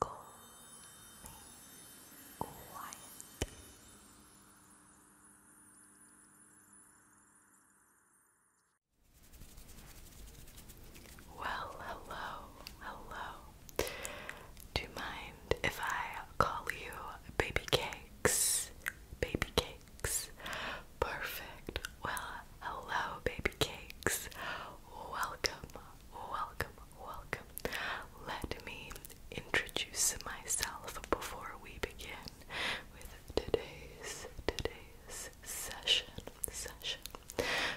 calmly, quietly. Well, hello, hello. Do you mind if I call you Baby Cakes? Baby Cakes. Perfect. Well, hello, Baby Cakes. Welcome, welcome, welcome. Let me introduce myself before we begin with today's today's session session.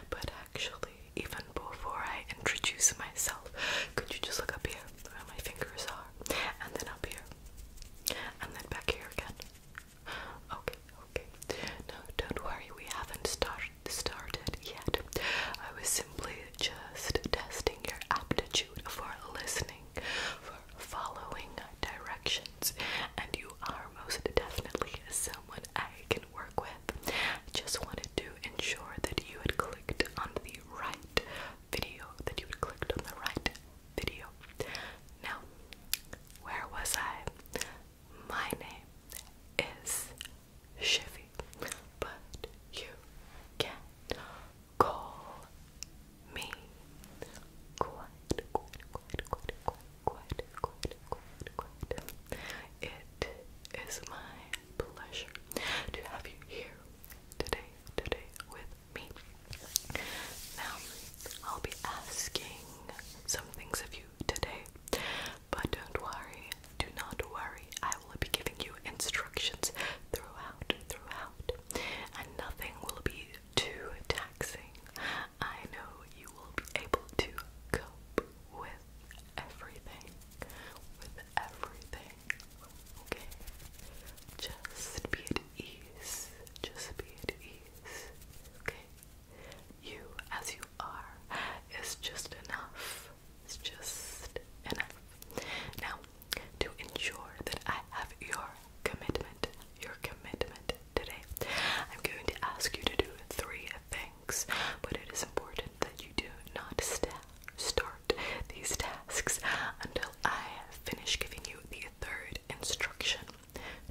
But actually, even before I introduce myself, could you just look up here where my fingers are, and then up here, and then back here again? Okay, okay. No, don't worry, we haven't started started yet. I was simply just testing your aptitude for listening, for following directions, and you are most definitely someone I can work with. I just wanted to ensure that you had clicked on the right video, that you had clicked on the right video. Now, where was I? My name is Chevy, but you can call me quite, quite, quite, quite, quite, quite, quite, quite. It is my pleasure to have you here today, today with me. Now, I'll be asking some things of you today. But don't worry, do not worry. I will be giving you instructions throughout, throughout, and nothing will be too taxing. I know you will be able to cope with everything, with everything. Okay, just be at ease. Just be at ease. Okay, you as you are is just enough. It's just enough. Now, to ensure that I have your commitment, your commitment today, I'm going to ask you to do three things, but it is important that you do not start these tasks until I finish giving you the third instruction.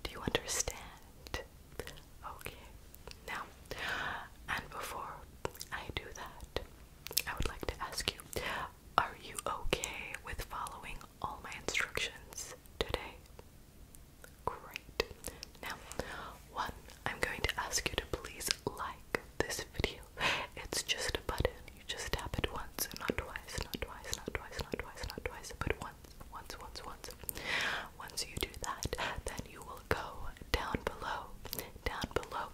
Do you understand? Okay, now, and before I do that, I would like to ask you are you okay with following all my instructions today? Great. Now, one, I'm going to ask you to please like this video. It's just a button. You just tap it once, not twice, not twice, not twice, not twice, not twice, but once, once, once, once. Once you do that, then you will go down below, down below,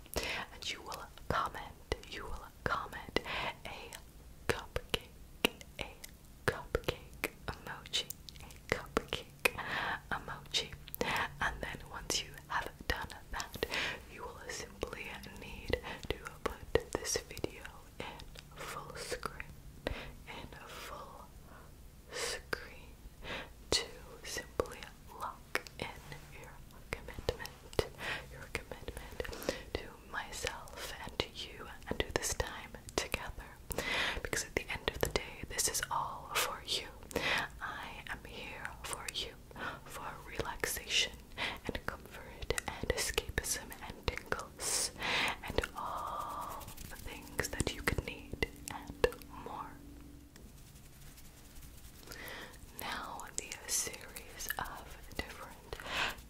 and you will comment, you will comment a cupcake, a cupcake emoji, a cupcake emoji. And then once you have done that, you will simply need to put this video in full screen, in full screen to simply lock in your commitment, your commitment to myself and to you and to this time together. Because at the end of the day, this is all for you. I am here for you, for relaxation and comfort and escapism and tingles and all the things that you could need and more. Now, the series of different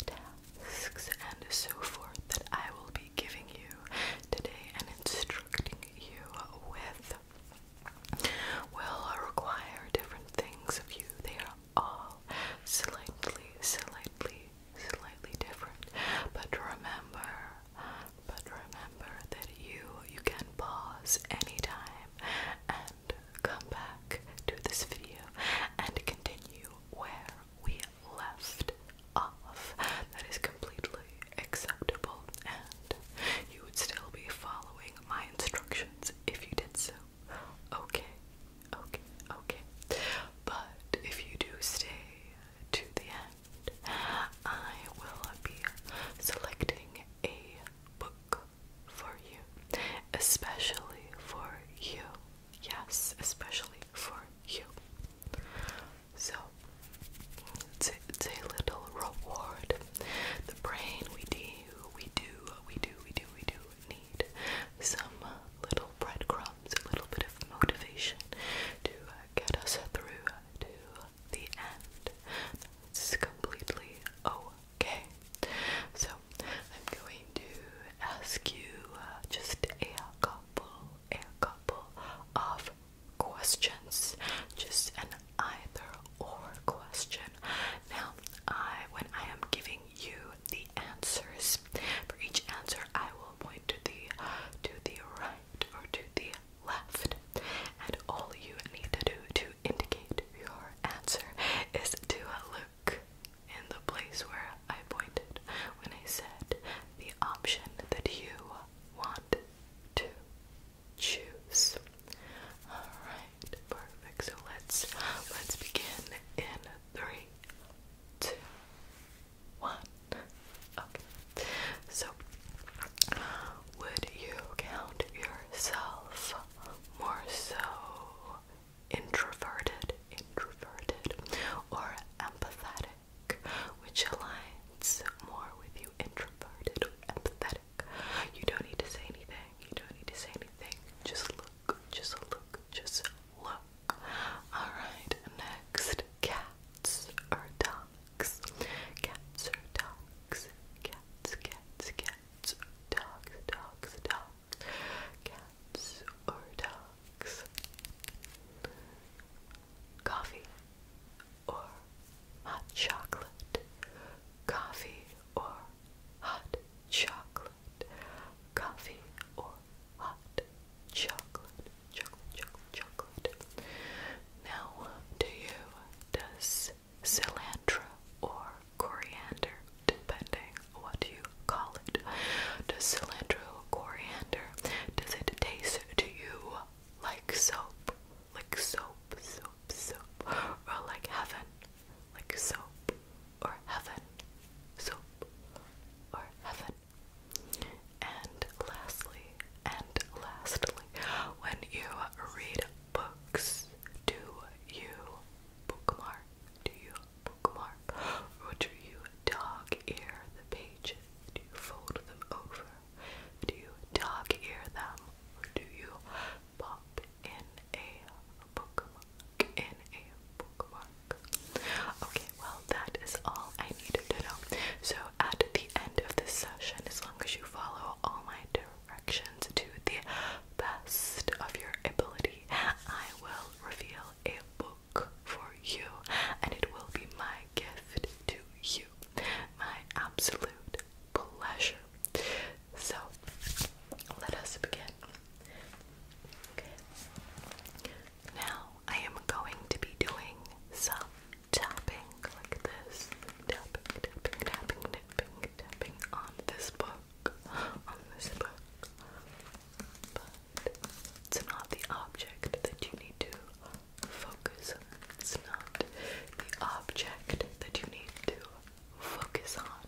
tasks and so forth that I will be giving you today and instructing you with will require different things of you. They are all slightly, slightly, slightly different, but remember but remember that you you can pause any time and come back to this video and continue where we left off. That is completely acceptable and you would still be following my instructions if you did so. Okay, okay, okay. But if you do stay to the I will be selecting a book for you, especially for you. Yes, especially for you. So, it's, a little reward. The brain, we do, we do, we do, we do, we do need some little breadcrumbs, a little bit of motivation to get us through to the end. This is completely okay. So, I'm going to ask you uh, just a couple, a couple of questions. Just an either or question. Now, I when I am giving you the answers, for each answer I will point to the to the right or to the left. And all you need to do to indicate your answer is to look in the place where I pointed when I said the option that you want to choose. Alright, perfect. So let's let's begin in three, two, one. So, would you count yourself more so introverted, introverted, or empathetic? Which aligns more with you, introverted or empathetic? You don't need to say anything. You don't need to say anything. Just look. Just look. Just look. All right. Next, cats or dogs. Cats or dogs. Cats, cats, cats, dogs, dogs, dogs. Cats or dogs. Coffee or hot chocolate. Coffee or hot chocolate. Coffee or hot chocolate, now, to you, does cilantro or coriander, depending what you call it, does cilantro coriander, does it taste to you like soap, like soap, soap, soap, or like heaven, like soap, or heaven, soap, or heaven? And lastly, and lastly, when you read books, do you bookmark? Do you bookmark? do you dog ear the pages? Do you fold them over? Do you dog ear them? do you pop in a bookmark? In a bookmark? Okay, well, that is all I needed to know. So at the end of this session, as long as you follow all my directions to the best of your ability, I will reveal a book for you, and it will be my gift to you. My absolute pleasure. So, let us begin. Now, I am going to be doing some tapping like this, tapping, tapping, tapping, tapping, tapping on this book, on this book. But it's not the object that you need to focus on. It's not the object that you need to focus on.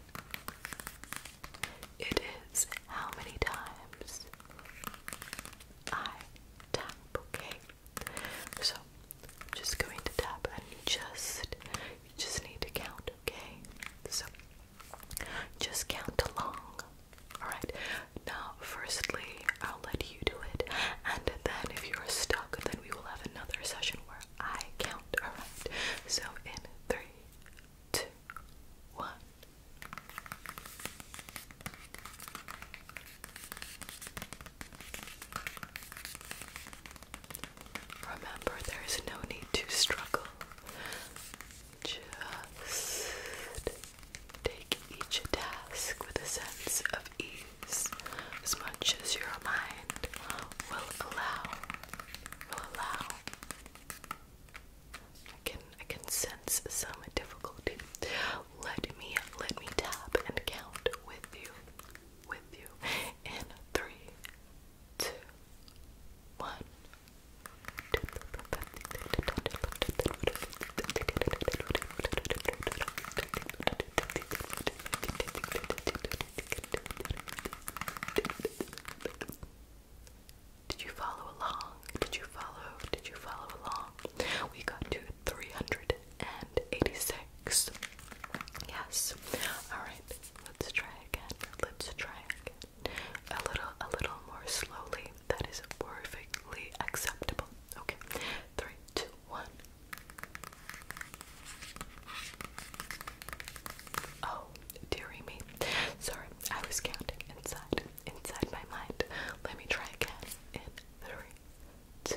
It is how many times I tap, okay? So I'm just going to tap and you just you just need to count, okay? So just count along. Alright. Now firstly I'll let you do it and then if you're stuck then we will have another session where I count. Alright. So in three, two, one. Remember, there is no need to struggle. Just take each task with a sense of ease as much as your mind will allow. Will allow. I can I can sense some difficulty. Let me let me tap and count with you with you in three, two, one. Did you follow along? Did you follow? Did you follow along? We got two 386. Yes. Alright, let's try again. Let's try again. A little a little more slowly. That is perfectly acceptable. Okay. Three, two, one. Oh, dearie me. Sorry, I was counting inside, inside my mind. Let me try again in three, two,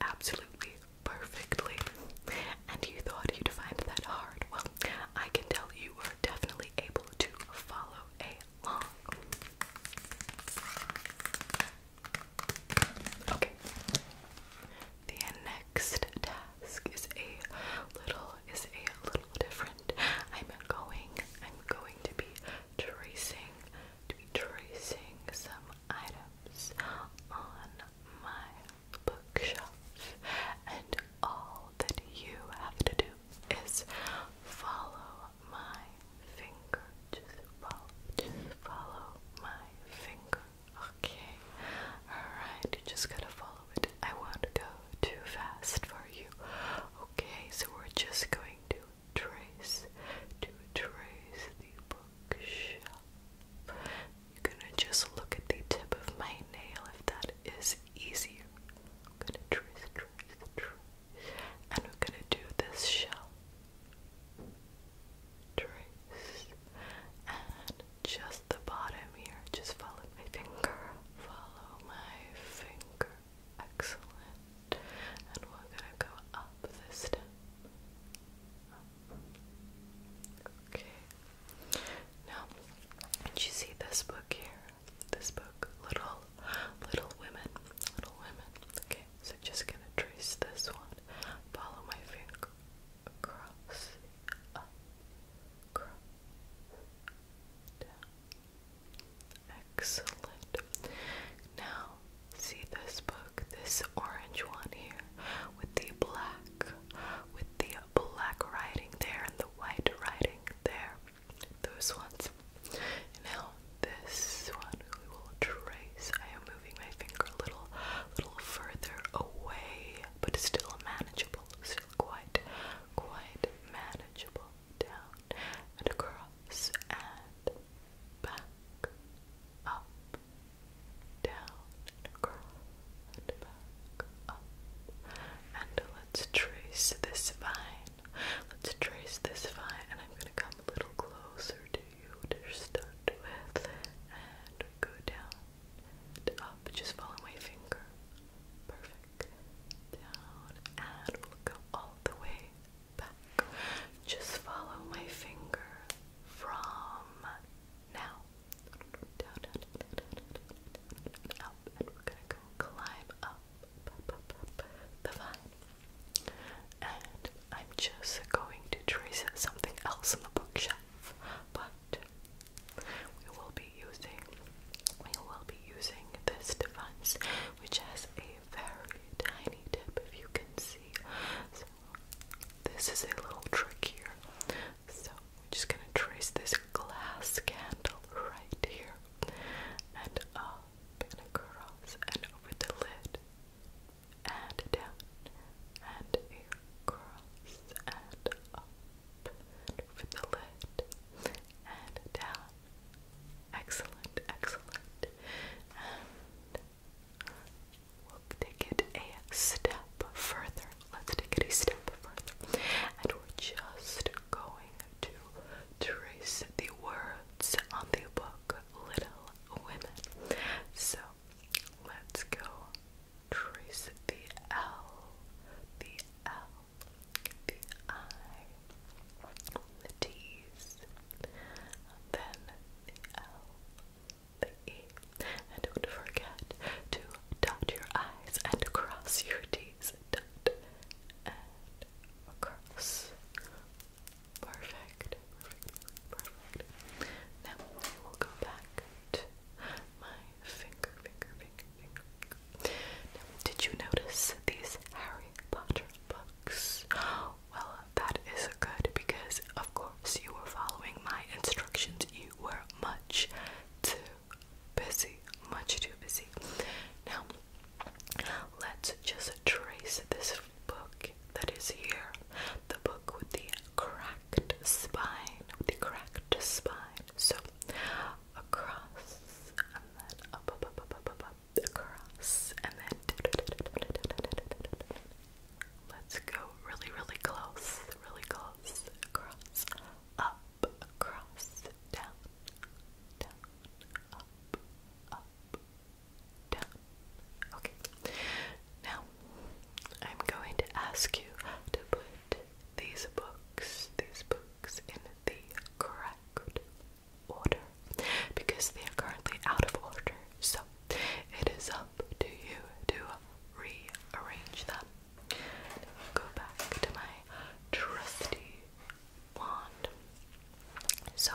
absolutely perfectly. And you thought you'd find that hard. Well, I can tell you are definitely able to follow along. Okay. The next task is a little is a little different. I'm going I'm going to be tracing to be tracing some items on my bookshelf, and all that you have to do is follow my finger. Just follow, follow my finger. Okay, alright, you just gotta follow it. I won't go too fast for you. Okay, so we're just going to trace, to trace the bookshelf. You're gonna just look at the tip of my nail if that is easier. I'm gonna trace, trace, trace. And we're gonna do this shelf. Trace. And just the bottom here. Just follow my finger. Follow my finger. Excellent. And we're gonna go up the stem. Okay. Now, did you see this book here? This book, Little Little Women. Little Women. Okay, so just gonna trace this one. Follow my finger across, up, across, down. Excellent. Now see this book, this orange one here, with the black, with the black writing there and the white writing there. Those ones. Now this one we will trace. I am moving my finger a little, little further away, but still manageable. Still quite, quite manageable. Down and across and back, up, down, and back, up. And let's trace this vine. Let's trace this vine, and I'm gonna come a little closer to you to start with. And go down and up. Just follow my finger. Perfect. Down and we'll go all the way just follow my finger from now up, we're gonna go climb up, the vine. And I'm just going to trace something else on the bookshelf, but we will be using we will be using this device, which has a very tiny tip, if you can see this is a little trick here. So we're just gonna trace this glass candle right here and up and across and over the lid and down and across and up and over the lid and down. Excellent, excellent. We'll take it a step further. Let's take it a step further. And we're just going to trace the words on the book Little Women. So let's go trace the L, the L, the I, the T's, then the L, and don't forget to dot your I's and cross your T's. Dot and cross. Perfect. Now I will go back to my finger, finger, finger, finger. Now, did you notice these Harry Potter books? well, that is good because, of course, you were following my instructions. You were much too busy, much too busy. Now, let's just trace this book that is here the book with the cracked spine, with the cracked spine. So, across and then across and then Let's go really, really close, really close. Across, up, across, down, down, up, up, down. Okay. Now, I'm going to ask you to put these books, these books, in the correct order because they are currently out of order. So, it is up um, up you to rearrange them. go back to my trusty wand. So,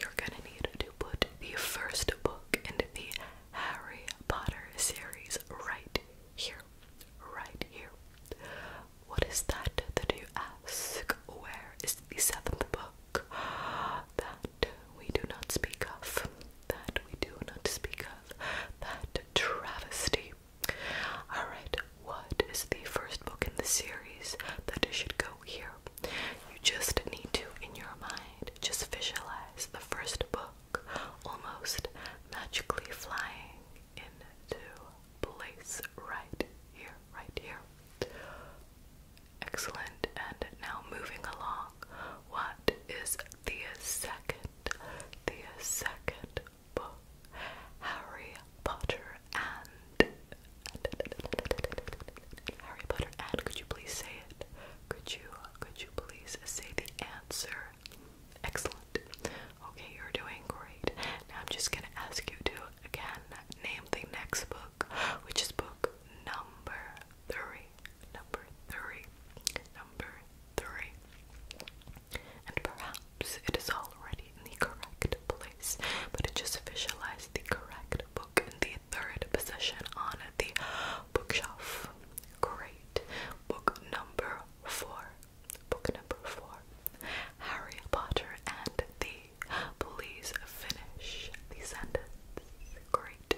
you're gonna need to put the first book in the Harry Potter series right here. Right here. What is that that you ask? Where is the seventh book? that we do not speak of, that we do not speak of, that travesty. Alright, what is the first book in the series that should go here? You just need to, in your mind, just visualize the first book almost magically flying into place right here, right here. Excellent. And now moving along, what is the second, the second book? Harry Potter and, Harry Potter and. Could you please say it? Could you, could you please say the answer? Excellent. Okay, you're doing great. Now I'm just gonna ask you to again name the next book, which is book number three three, number three. And perhaps it is already in the correct place, but it just visualized the correct book in the third position on the bookshelf. Great. Book number four. Book number four. Harry Potter and the. Please finish the sentence. Great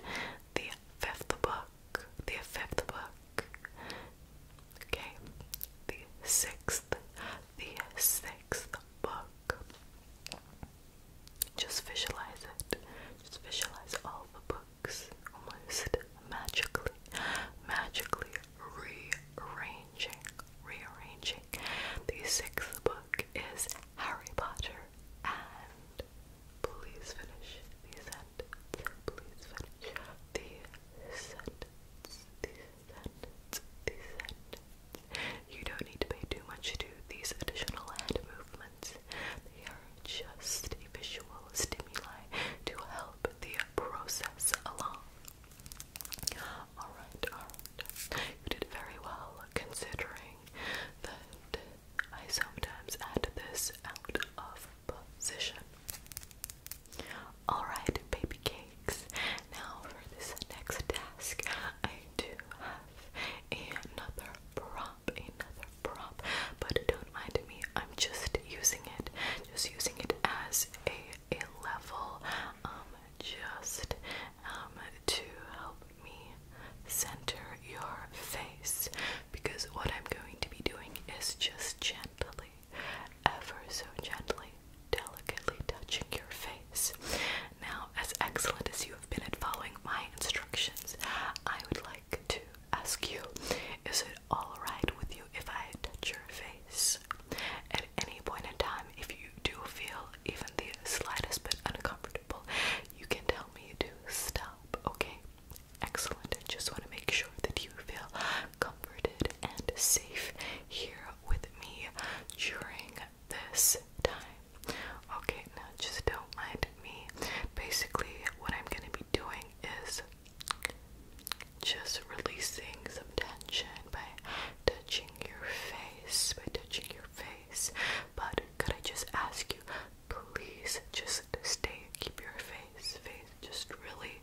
the fifth book, the fifth book, okay, the sixth, the sixth book. Just visualize it, just visualize all the books almost magically, magically rearranging, rearranging. The sixth book is Harry Potter and Please finish the sentence. The sentence. The sentence. You don't need to pay too much to these additional hand movements. They are just a visual stimuli to help the process along. Alright, alright. You did very well considering that I sometimes add this out of position. Alright, baby cakes. Now for this next task, I do have another prop, another prop, but don't mind me, I'm just using it, just using it as a, a level, um, just um, to help me center your face because what I'm going to be doing is just gently, ever so gently, delicately touching your face. Now, as excellent as you have been at following my instructions, I would like to ask you is it alright with you if I touch your face? At any point in time, if you do feel even the slightest bit uncomfortable, you can tell me to stop, okay? Excellent. I just want to make sure that you feel comforted and safe here with me during this time. Okay, now just don't mind me. Basically, what I'm going to be doing is just releasing some tension by touching your face, by touching your face. But could I just ask you please just stay, keep your face, face just really,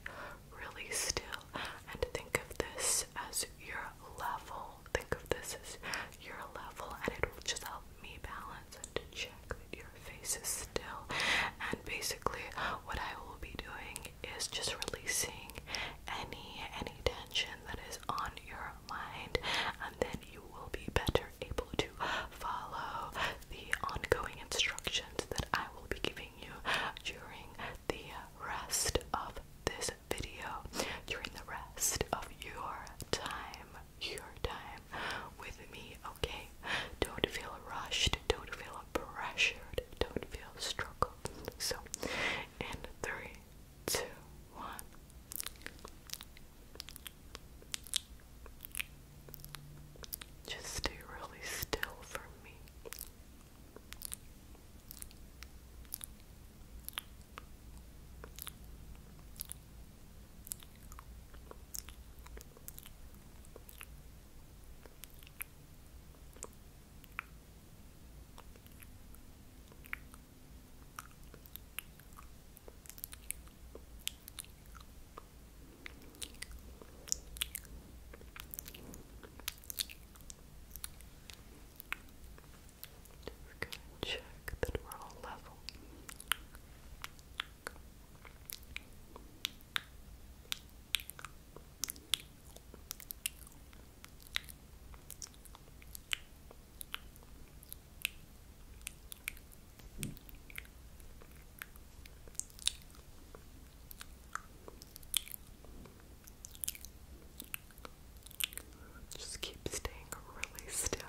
really still, and think of this as your level. Think of this as your level, and it will just help me balance and to check that your face is still. And basically, what I will be doing is just releasing any any tension that is on your mind, and then you will be better able to follow the ongoing instructions that I will be giving you during the rest of this video, during the rest of your time, your time with me, okay? Don't feel rushed, don't feel pressured, don't feel struggled. So, in three, two, one. Just stay really still for me. We're check that we're all level. Just keep staying really still.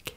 Okay.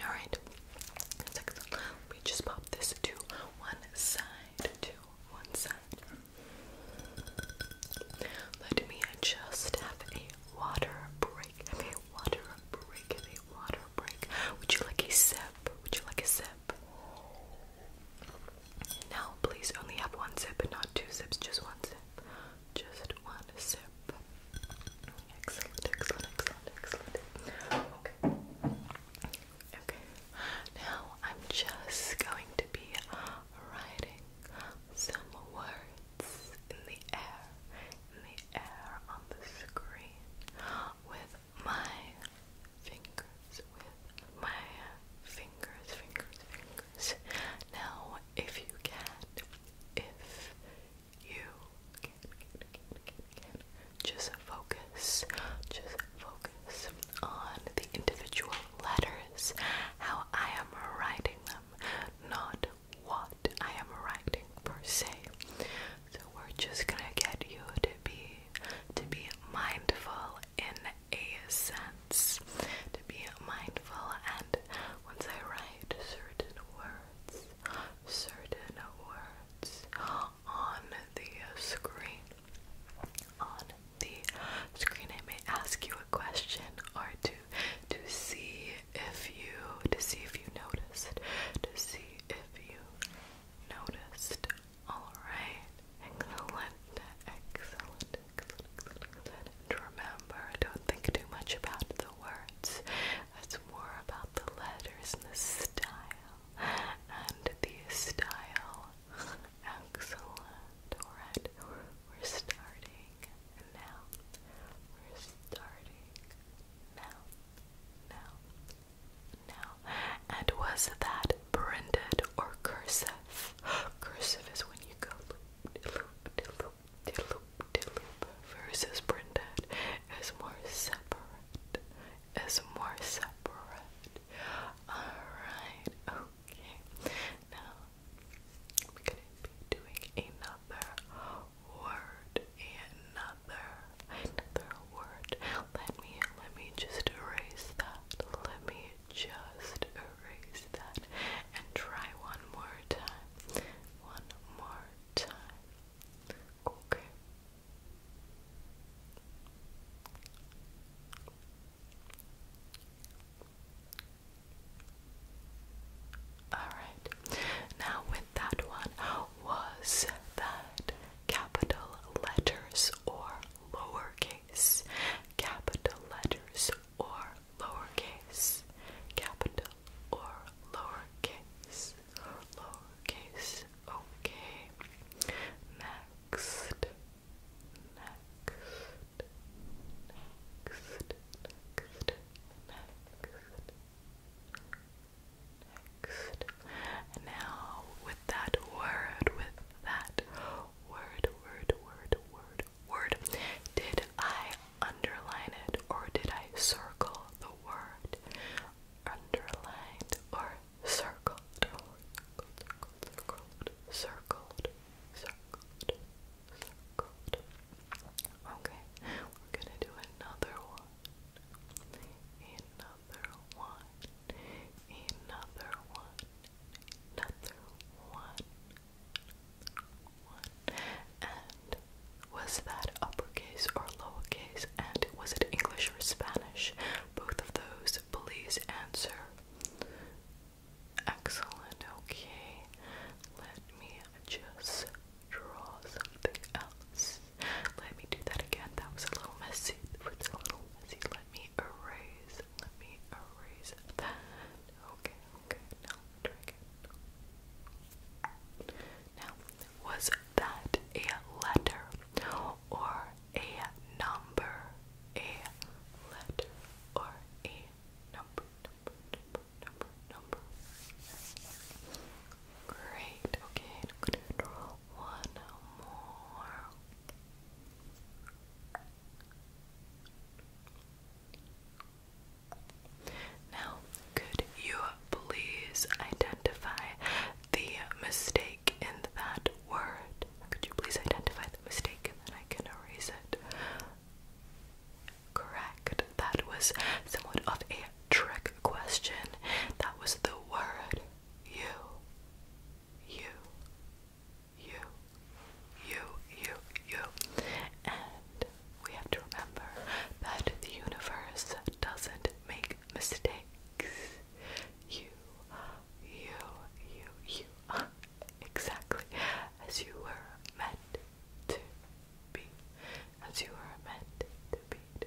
Alright, we just pop this to one side, to one side. Let me just have a water break, a water break, a water break. Would you like a sip? Would you like a sip? Now, please only have one sip not two sips, just one sip. Just one sip. Excellent, excellent, excellent, excellent. Okay. Okay. Now, I'm just going to be writing some words in the air, in the air on the screen with my fingers with my fingers, fingers, fingers. Now, if you can, if you can, just focus, just focus on the individual letters, how I am writing them, not what I am writing per se. So we're just gonna get you to be to be mindful in a sense to be mindful and once I write certain words, certain words on the screen, on the screen I may ask you a question or two to see if you to see if you noticed, to see if you noticed Alright, excellent, excellent, excellent, remember, don't think too much about the words. It's more about the letters and the style. And the style. Excellent. we're starting now. We're starting now. Now now. And was that branded or cursive? Cursive is when you go loop de loop de loop versus branded is more separate. Is more separate. Alright, okay. Now I'm gonna be doing another word, another, another word. Let me let me just erase that. Let me just erase that and try one more time. One more time. Okay. Alright, now with that one, was that capital letters or lowercase? capital letters, or lowercase, capital or lowercase, lowercase. Okay. Next. Next. Next. Next. Next. Now, with that word, with that word, word, word, word, word. Did I underline it or did I circle the word? Underlined or circled? Circled, circled, circled, circled, circled. Okay, we're gonna do another one. Another another one, another one, another one, one. And was that uppercase or lowercase? And was it English or Spanish? Both of those, please answer. Excellent, okay. Let me just draw something else. Let me do that again. That was a little messy. It was a little messy. Let me erase. Let me erase that. Okay, okay. Now, try again. Now, was that a letter or a number? A letter or a number? Number, number, number, number. Great. Okay, i one more. Now, could you please identify the mistake in that word? Could you please identify the mistake and then I can erase it? Correct. That was somewhat of a trick question. That was the word you. You you, you, you, you. And we have to remember that the universe doesn't make mistakes. You, you, you, you are exactly as you were meant to be. As you were meant to be,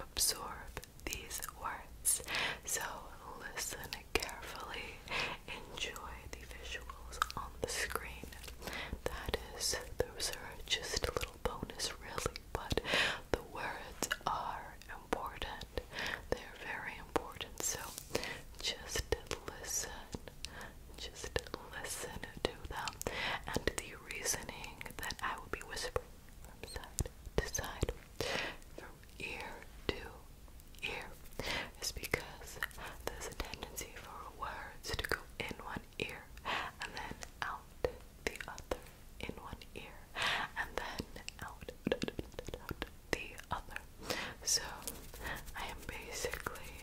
absorb these words. So listen carefully, enjoy the visuals on the screen. That is, those are just a little bonus, really, but the words are important. They're very important, so just listen. Just listen to them and the reasoning that I will be whispering from side to side, from ear to ear, is because there's a tendency for words to go in one ear and then out the other, in one ear and then out, the other. So I am basically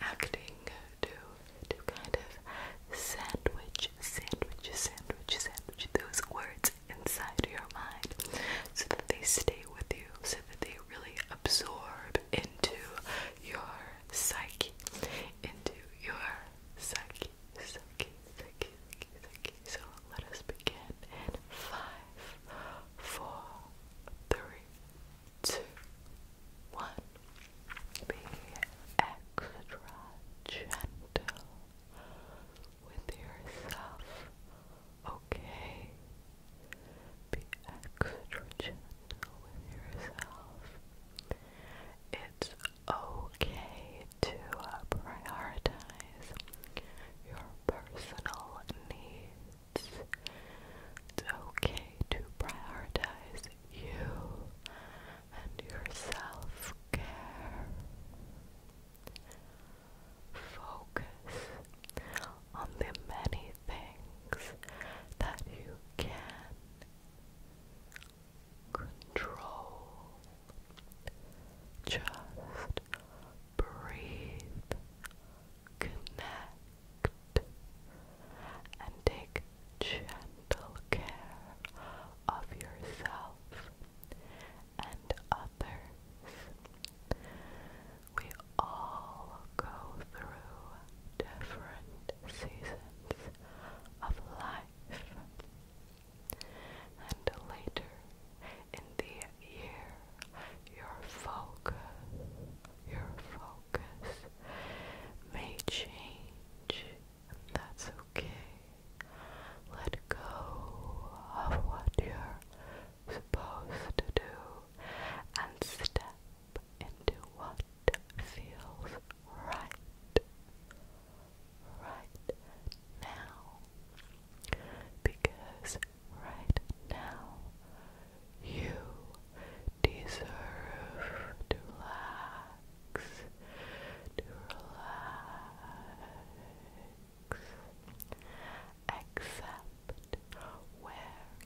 acting to to kind of sandwich, sandwich, sandwich, sandwich those words inside your mind so that they stay with you, so that they really absorb into your psyche, into your psyche, psyche, psyche, psyche, So let us begin in five, four, three, two, one. Be extra gentle with yourself, okay? Be extra gentle with yourself. It's okay to prioritize your personal needs. It's okay to prioritize you and your self care. Focus on the many things that you can control. Just breathe, connect, and take gentle care of yourself and others. We all go through different seasons of life. And later in the year, your focus, your focus may change and that's okay. Let go of what you're supposed to do and step into what feels right right now. Because right now you deserve to laugh to relax. Accept where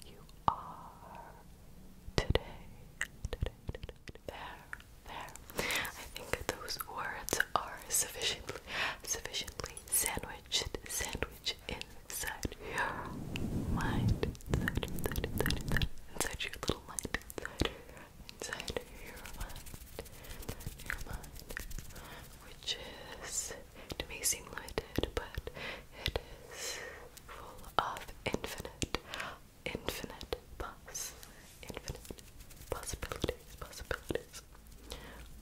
you are today. There, there. I think those words are sufficiently, sufficiently sandwiched, sandwiched inside your mind, inside, inside, inside, inside your little mind, inside, inside of your mind, which may seem limited, but it is full of infinite, infinite poss, infinite possibilities, possibilities.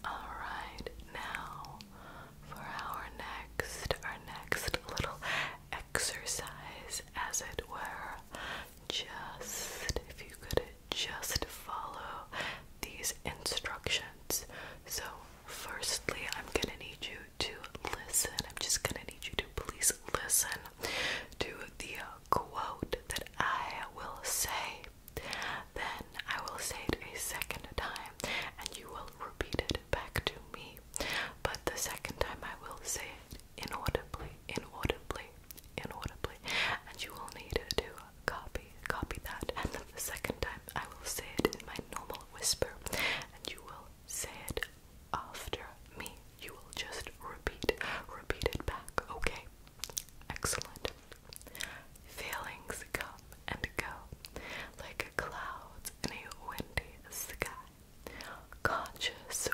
Alright, now for our next, our next little exercise, as it were, just if you could just follow these instructions. So, firstly, I'm gonna need you to listen. I'm just gonna need you to please listen to the quote that I will say. Then I will say it a second time and you will repeat it back to me. But the second time I will say it inaudibly, inaudibly inaudibly, and you will need to copy copy that. And the second time, I will say it in my normal whisper, and you will say it after me. You will just repeat, repeat it back. Okay, excellent. Feelings come and go, like clouds in a windy sky. Conscious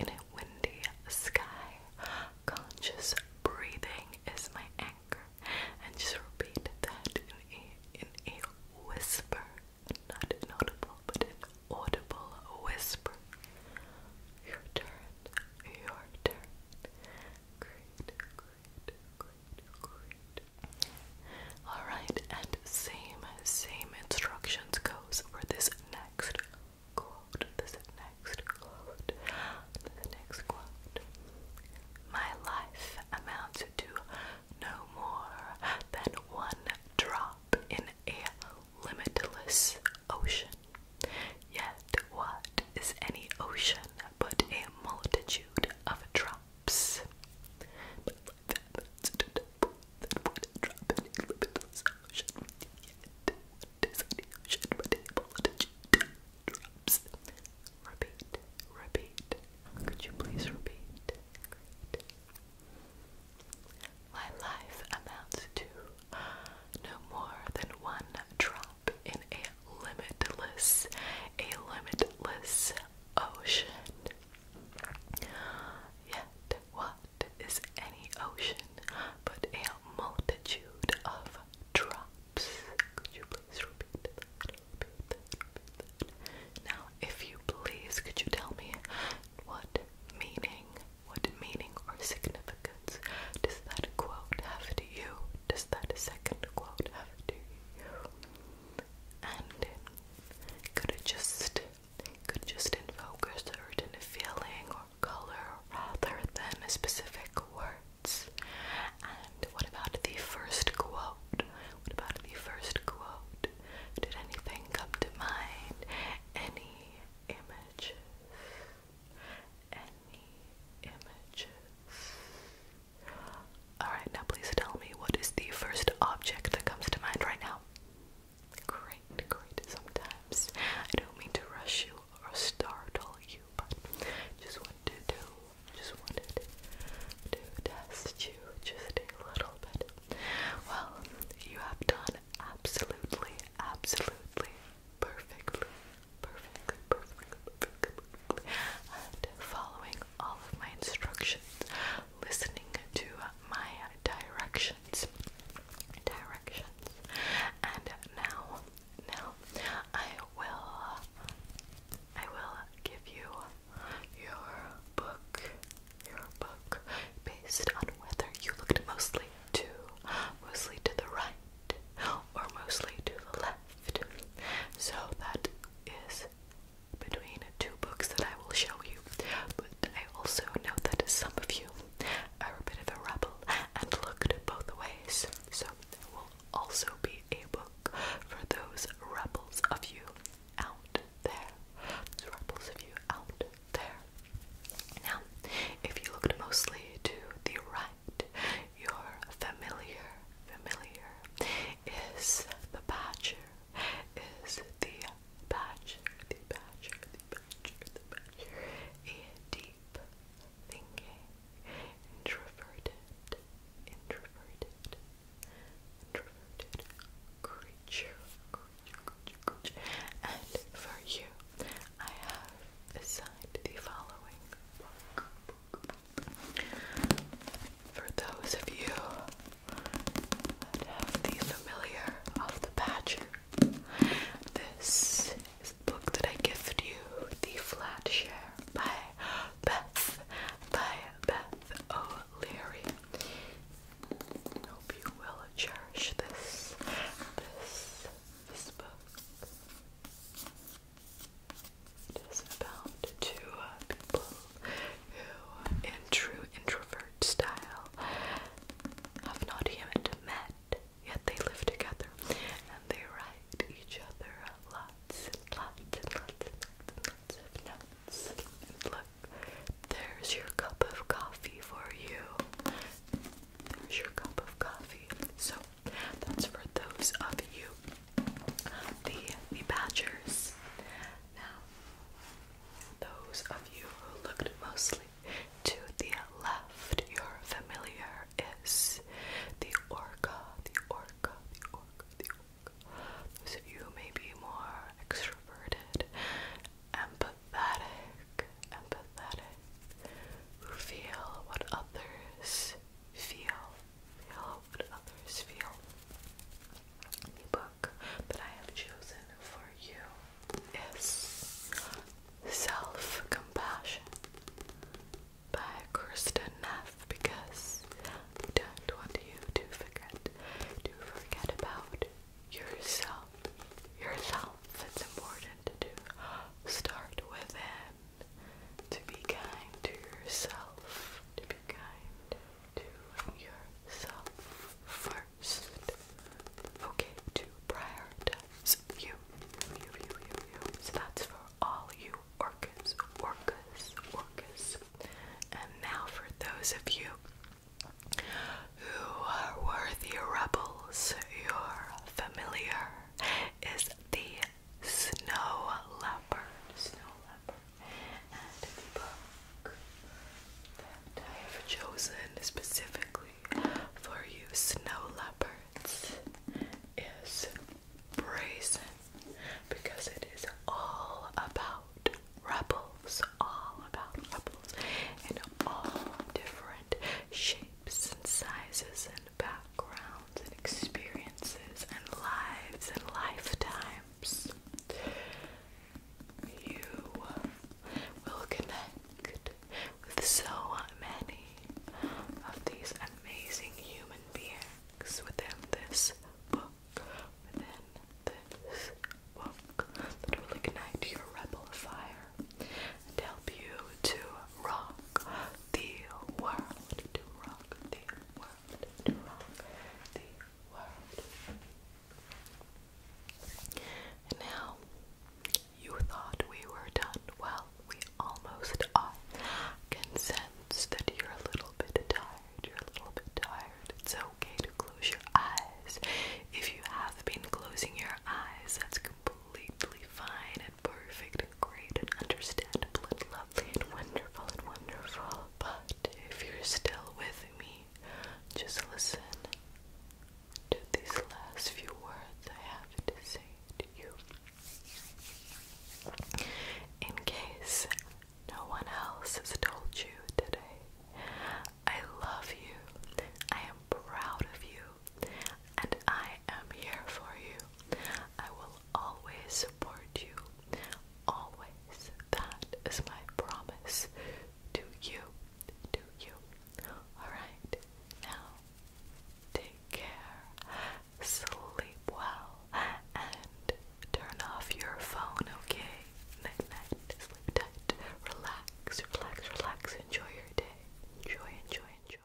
In a windy sky, conscious breathing is my anchor. And just repeat that in a, whisper. Not inaudible, but an audible whisper. Your turn, your turn. Great, great, great, great. Alright, and same, same instructions goes for this next quote, this next quote, this next quote. My life amounts to no more than one drop in a limitless ocean. Yet, what is any ocean but a multitude of drops? that would drop any limitless ocean yet what is any ocean but repeat, repeat could you please repeat? my life amounts to no more than one drop in a limitless, a limitless ocean. Yet, what is any ocean, but a multitude of drops. Now, if you please, could you tell me what meaning, what meaning or significance does that quote have to you? Does that second quote have to you? And could it just could just invoke a certain feeling or color rather than specific words. And what about the first quote? What about the first quote? Did anything come to mind? Any images? Any images? Alright, now please tell me what is the first object that comes to mind right now? Great, great. Sometimes I don't mean to rush you or startle you, but just wanted to do, just wanted to test you just a little bit. Well, you have done absolutely, absolutely perfectly, perfectly, perfectly, perfectly, and following all of my instructions, listening to my directions directions. And now, now I will I will give you your book. Your book based on whether you looked mostly to mostly to the right or mostly to the left. So that is between two books that I will show you. But I also know that some of you I were a bit of a rebel and looked both ways. So there will also be a book for those rebels of you out there. Those rebels of you out there. Now, if you looked mostly to the right, your familiar, familiar is the badger, is the badger, the badger, the badger, and deep thinking, introverted, introverted, introverted creature, And for you, I have assigned the following For those of you that have the familiar of the badger this is the book that I gift you, The Flat Share by Beth, by Beth O'Leary. Hope you will cherish this, this, this book. It is about two uh, people who, in true introvert style, have not yet met yet, they live together and they write each other lots and lots and lots and lots of notes. look, there's your cup of coffee for you. There's your cup of coffee. So that's for those of you, the the badgers. Now, those of you who looked mostly to the left, your familiar is the orca, the orca, the orca, the orca. Those of you who may be more extroverted, empathetic, empathetic, who feel what others feel, feel what others feel. The book that I have chosen for you is Self Compassion by Kristen Neff because we don't want you to forget to forget about yourself. Yourself. It's important to start within. To be kind to yourself. To be kind to yourself first first. Okay, to prioritize you. You, you, you, you. So that's for all you orcas, orcas, orcas. And now for those of you who are worthy rebels, your familiar is the snow leopard. Snow leopard. And the book that I have chosen specifically for you snow leopards is brazen because it is all about rebels, all about rebels in all different shapes and sizes and backgrounds and experiences and lives and lifetimes. You will connect with so many of these amazing human beings within this book, within this book, that will ignite your rebel fire and help you to rock the world, to rock the world, to rock the world. And now you thought we were done. Well, we almost are. Can sense that you're a little bit tired. You're a little bit tired. It's okay to close your eyes. If you have been closing your eyes, that's completely fine and perfect and great and understandable and lovely and wonderful and wonderful. But if you're still with me, just listen to these last few words I have to say to you. In case no one else has told you today, I love you, I am proud of you, and I am here for you. I will always support you. Always. That is my promise to you to you. Alright, now take care, sleep well, and turn off your phone, okay? Night, night, sleep tight, relax, relax, relax, enjoy your day. Enjoy, enjoy, enjoy.